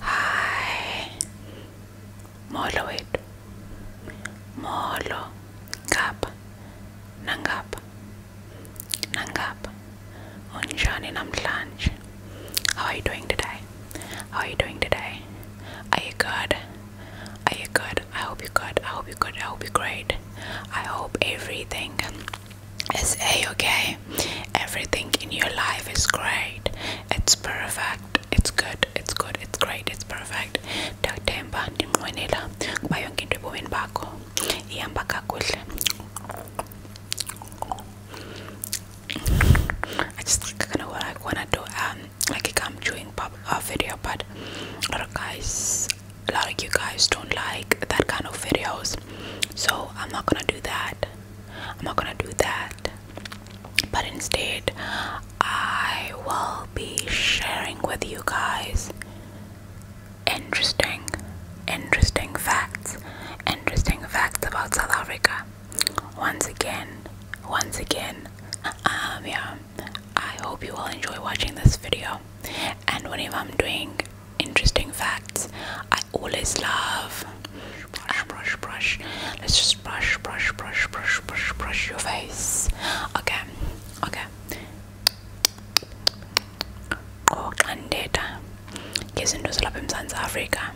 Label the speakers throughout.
Speaker 1: Hi, molo it, molo, gap, nangap, nangap, unjani namlanj, how are you doing today? How are you doing today? Are you good? Are you good? I hope you're good. I hope you're good. I hope you're great. I hope everything is a okay. Everything in your life is great. It's perfect. It's good. It's good. It's great. It's perfect. Dakuthemba ndinqwenela kuba yonke into ebomini bakho ihamba kakuhle. I just kind of like wanna do um like a gum chewing pop uh, video, but a lot of guys, a lot of you guys don't like that kind of videos, so I'm not gonna do that. I'm not gonna do that. But instead, I will be sharing with you guys interesting, interesting facts, interesting facts about South Africa once again once again um yeah i hope you all enjoy watching this video and whenever i'm doing interesting facts i always love brush um, brush brush let's just brush brush brush brush brush brush your face okay okay ngoqandeda oh, ngezinto zalapha eMzantsi Afrika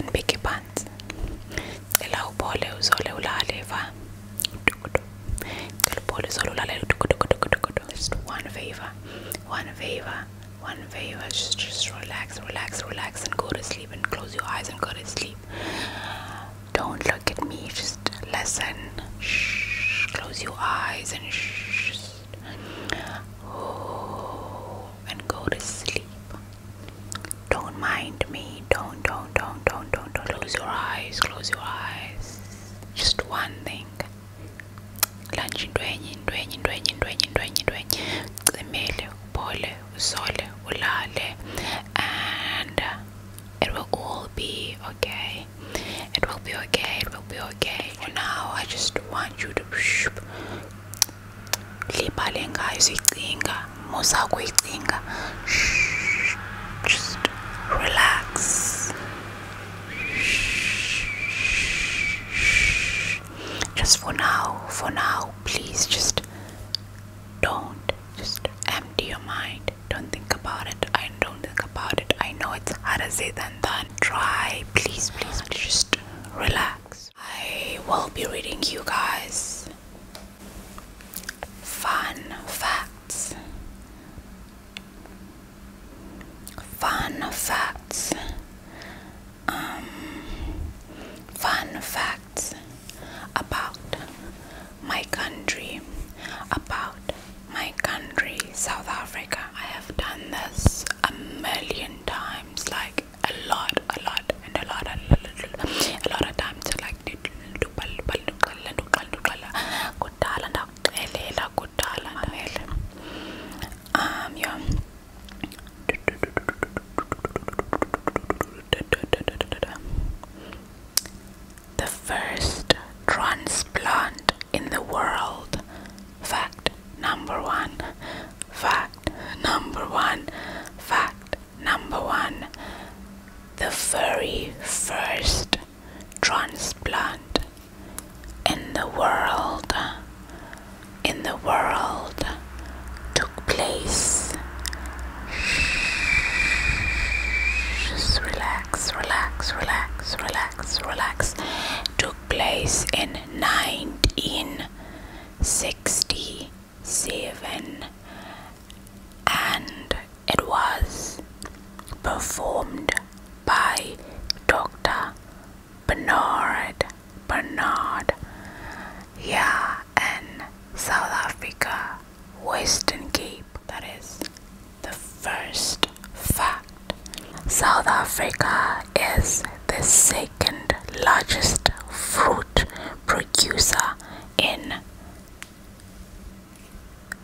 Speaker 1: من بيكي باند اللي هو بولي وزولي ولالي ف كل بولي زولي ولالي just one favor one favor one favor just, just relax relax relax and go to sleep and close your eyes and go to sleep don't look at me just listen shh close your eyes and shh oh, and go to sleep don't mind me. Don't, don't, don't, don't, don't, don't. Close your eyes. Close your eyes. Just one thing. Lanji ndwenye ndwenye ndwenye ndwenye ndwenye ndwenye. Cimele, pole, usole, ulale. And uh, it will all be okay. It will be okay. It will be okay. For now, I just want you to libhale ngayo sicinga musa kuyicinga just relax just for now for now please just don't just empty your mind don't think about it i don't think about it i know it's harder said than done try please please just relax I will be reading you guys fun facts. Fun facts. Um, fun facts about my country, about my country, South Africa. I have done this a million times, like like a lot, a lot, and a lot, a lot, a lot of time to like do um, yeah. The first transplant in the world. Fact number one. Fact number one. Fact Number one, the very first transplant in the world in the world took place. Just relax, relax, relax, relax, relax. Took place in 1960 seven, and it was performed by Dr. Bernard Bernard yeah in South Africa Western Cape that is the first fact South Africa is the second largest fruit producer in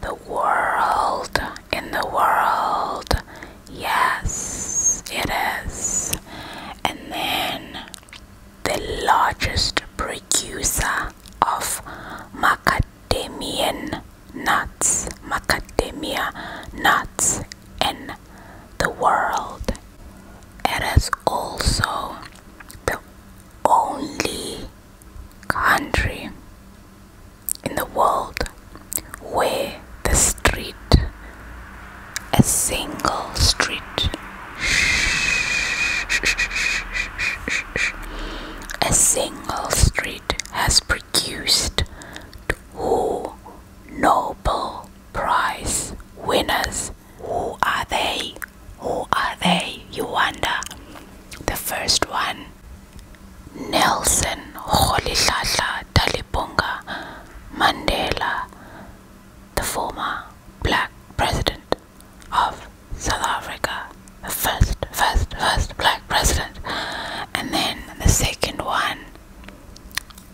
Speaker 1: the world, in the world. Yes, it is. And then the largest producer of macadamian nuts, macadamia nuts in the world. It is also the only country in the world where the street, a single street, a single street has produced two Nobel Prize winners who are they? Who are they? You wonder. The first one Nelson Rolihlahla Talipunga Mandela, the former black president of South Africa, the first, first, first black president. And then the second one,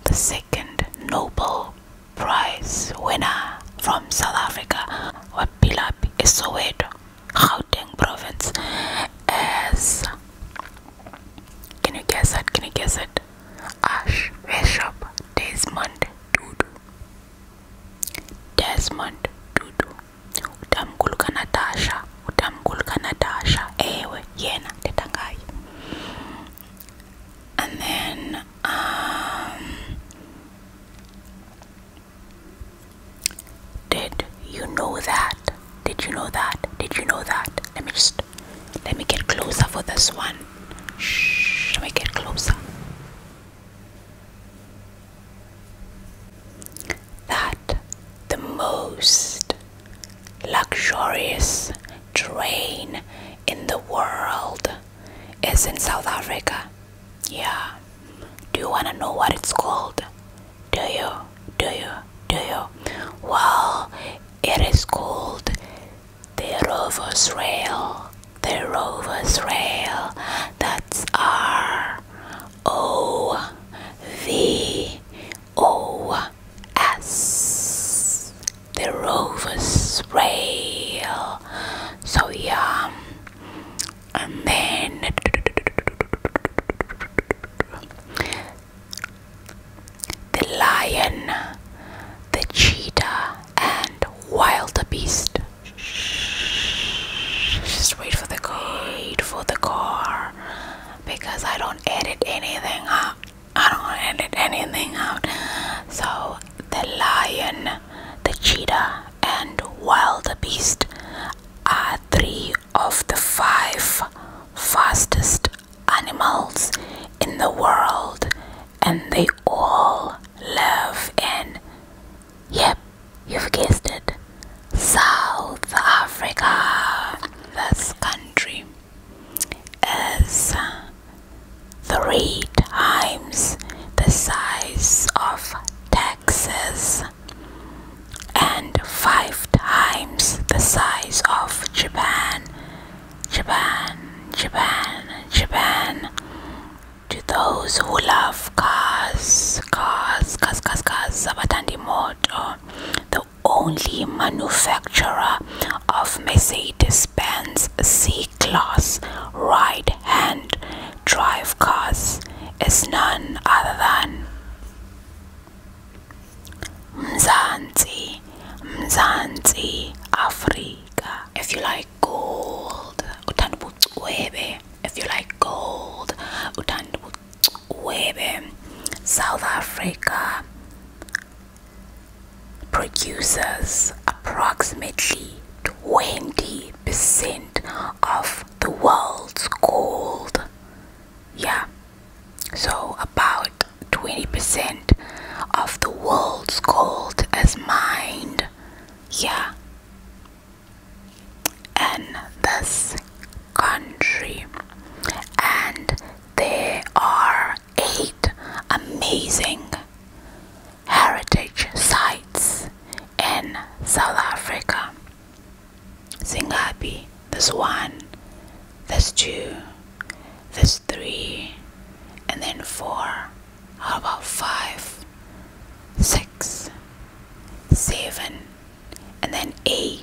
Speaker 1: the second Nobel prize winner from South Africa, Wapilapi Soweto, Gauteng province, as can you guess it? Can you guess it? Ash Bishop Desmond Tutu. Desmond Tutu. Utamkulka Natasha. Utamkulka Natasha. Ewe, yena, tetangai and then um, did you know that did you know that did you know that let me just let me get closer for this one Shh, let me get closer that the most luxurious train in the world is in South Africa. Yeah. Do you want to know what it's called? Do you? Do you? Do you? Well, it is called the Rover's Rail. The Rover's Rail. That's R O V O S the rovers is rail so yeah and then the lion the cheetah and wild beast. just wait for the code for the car because I don't edit anything out I don't edit anything out so the lion the cheetah, and wildebeest are three of the five fastest animals in the world, and they all live in, yep, you've guessed it, South Africa. This country is three times the size of Texas and five times the size of Japan. Japan, Japan, Japan. To those who love cars, cars, cars, cars, cars, Sabatandi Motor, the only manufacturer of Mercedes Benz C class right hand drive cars is none other than Mzansi, Mzansi, Africa. If you like gold, if you like gold, South Africa, produces approximately 20% of the world's gold. Yeah, so about 20% of the world's gold is mined. Yeah, and this country, and there are eight amazing heritage sites in South Africa. Sing happy. there's one, there's two, there's three, and then four. How about five, six, seven, and then eight?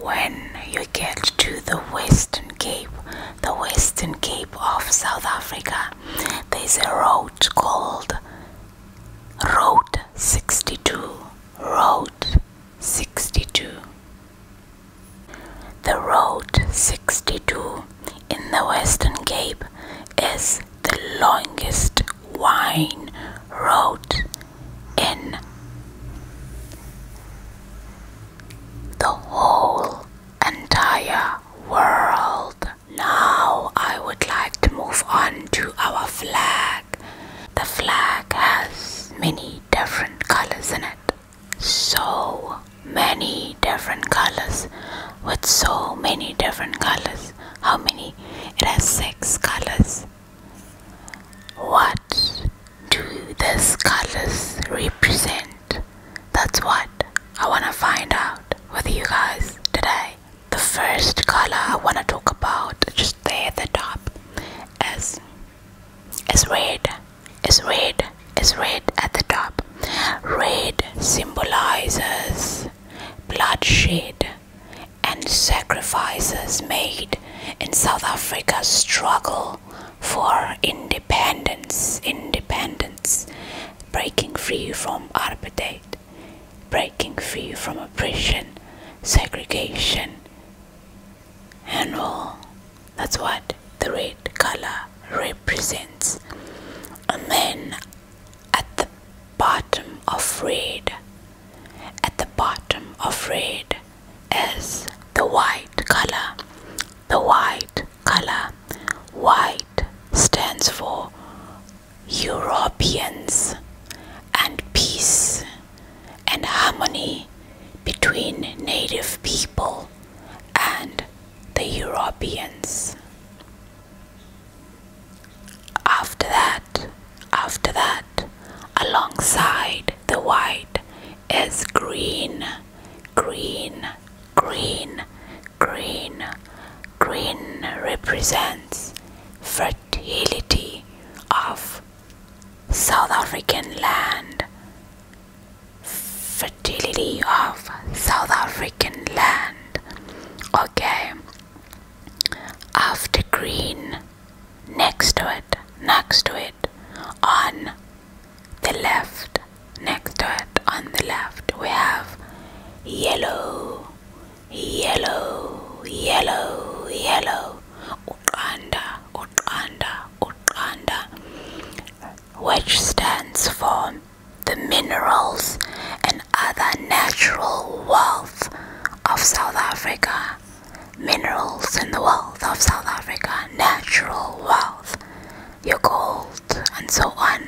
Speaker 1: When you get to the Western Cape, the Western Cape of South Africa, there's a road called Road 62. Road 62. The Road 62 in the Western Cape is the longest wine road in the whole entire world. Now I would like to move on to our flag. The flag has many different colors in it. So many different colors with so many different colors. How many? It has six colors. What do these colors represent? That's what I want to find out with you guys today. The first color I want to talk about, just there at the top, is, is red. Is red. Is red at the top. Red symbolizes bloodshed and sacrifices made died in South Africa's struggle for independence, independence, breaking free from apartheid, breaking free from oppression, segregation, and all. That's what the red color represents. And then at the bottom of red, at the bottom of red, is the white color. The white color. White stands for Europeans and peace and harmony between native people and the Europeans. After that, after that, alongside the white is green, green, green, green. Green represents fertility of South African land. Fertility of South African land. Okay. After green, next to it, next to it on the left next to it on the left we have yellow yellow yellow yellow Uganda Uganda Uganda which stands for the minerals and other natural wealth of South Africa Minerals and the wealth of South Africa, natural wealth, your gold, and so on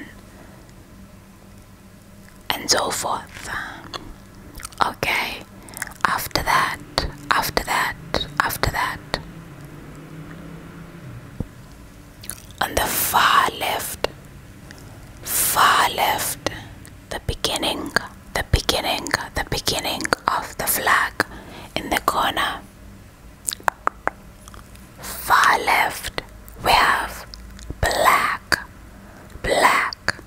Speaker 1: and so forth. Okay, after that, after that, after that. On the far left, far left, the beginning the beginning, the beginning of the flag in the corner. Far left, we have black. Black,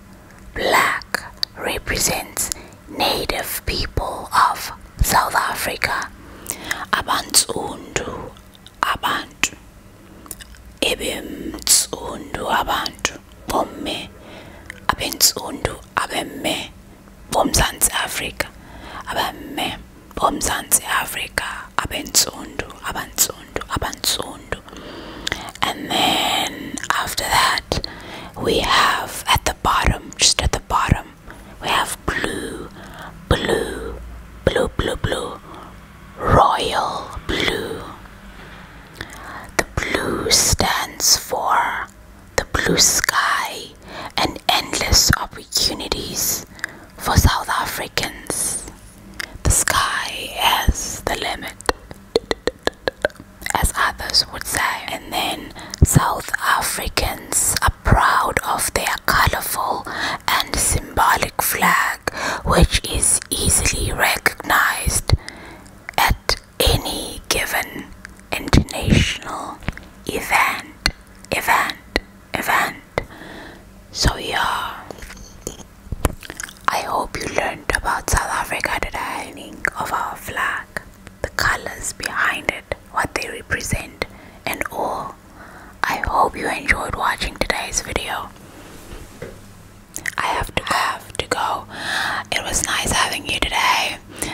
Speaker 1: black represents native people of South Africa. Abantsundu, abantu. Ebemtsundu, abantu. Bomme, abentsundu, abamme bomzantsi afrika abamme bomzantsi Africa. abentsundu abantsundu abantsundu and then after that we have at the bottom just at the bottom we have blue blue blue blue blue royal blue the blue stands for the blue sky, and endless opportunities for South Africans. The sky has the limit, as others would say. And then South Africans are proud of their colorful and symbolic flag, which is easily recognized at any given international event, event, event. So, yeah, I hope you learned about South Africa the Meaning of our flag, the colors behind it, what they represent, and all. I hope you enjoyed watching today's video. I have to have to go. It was nice having you today.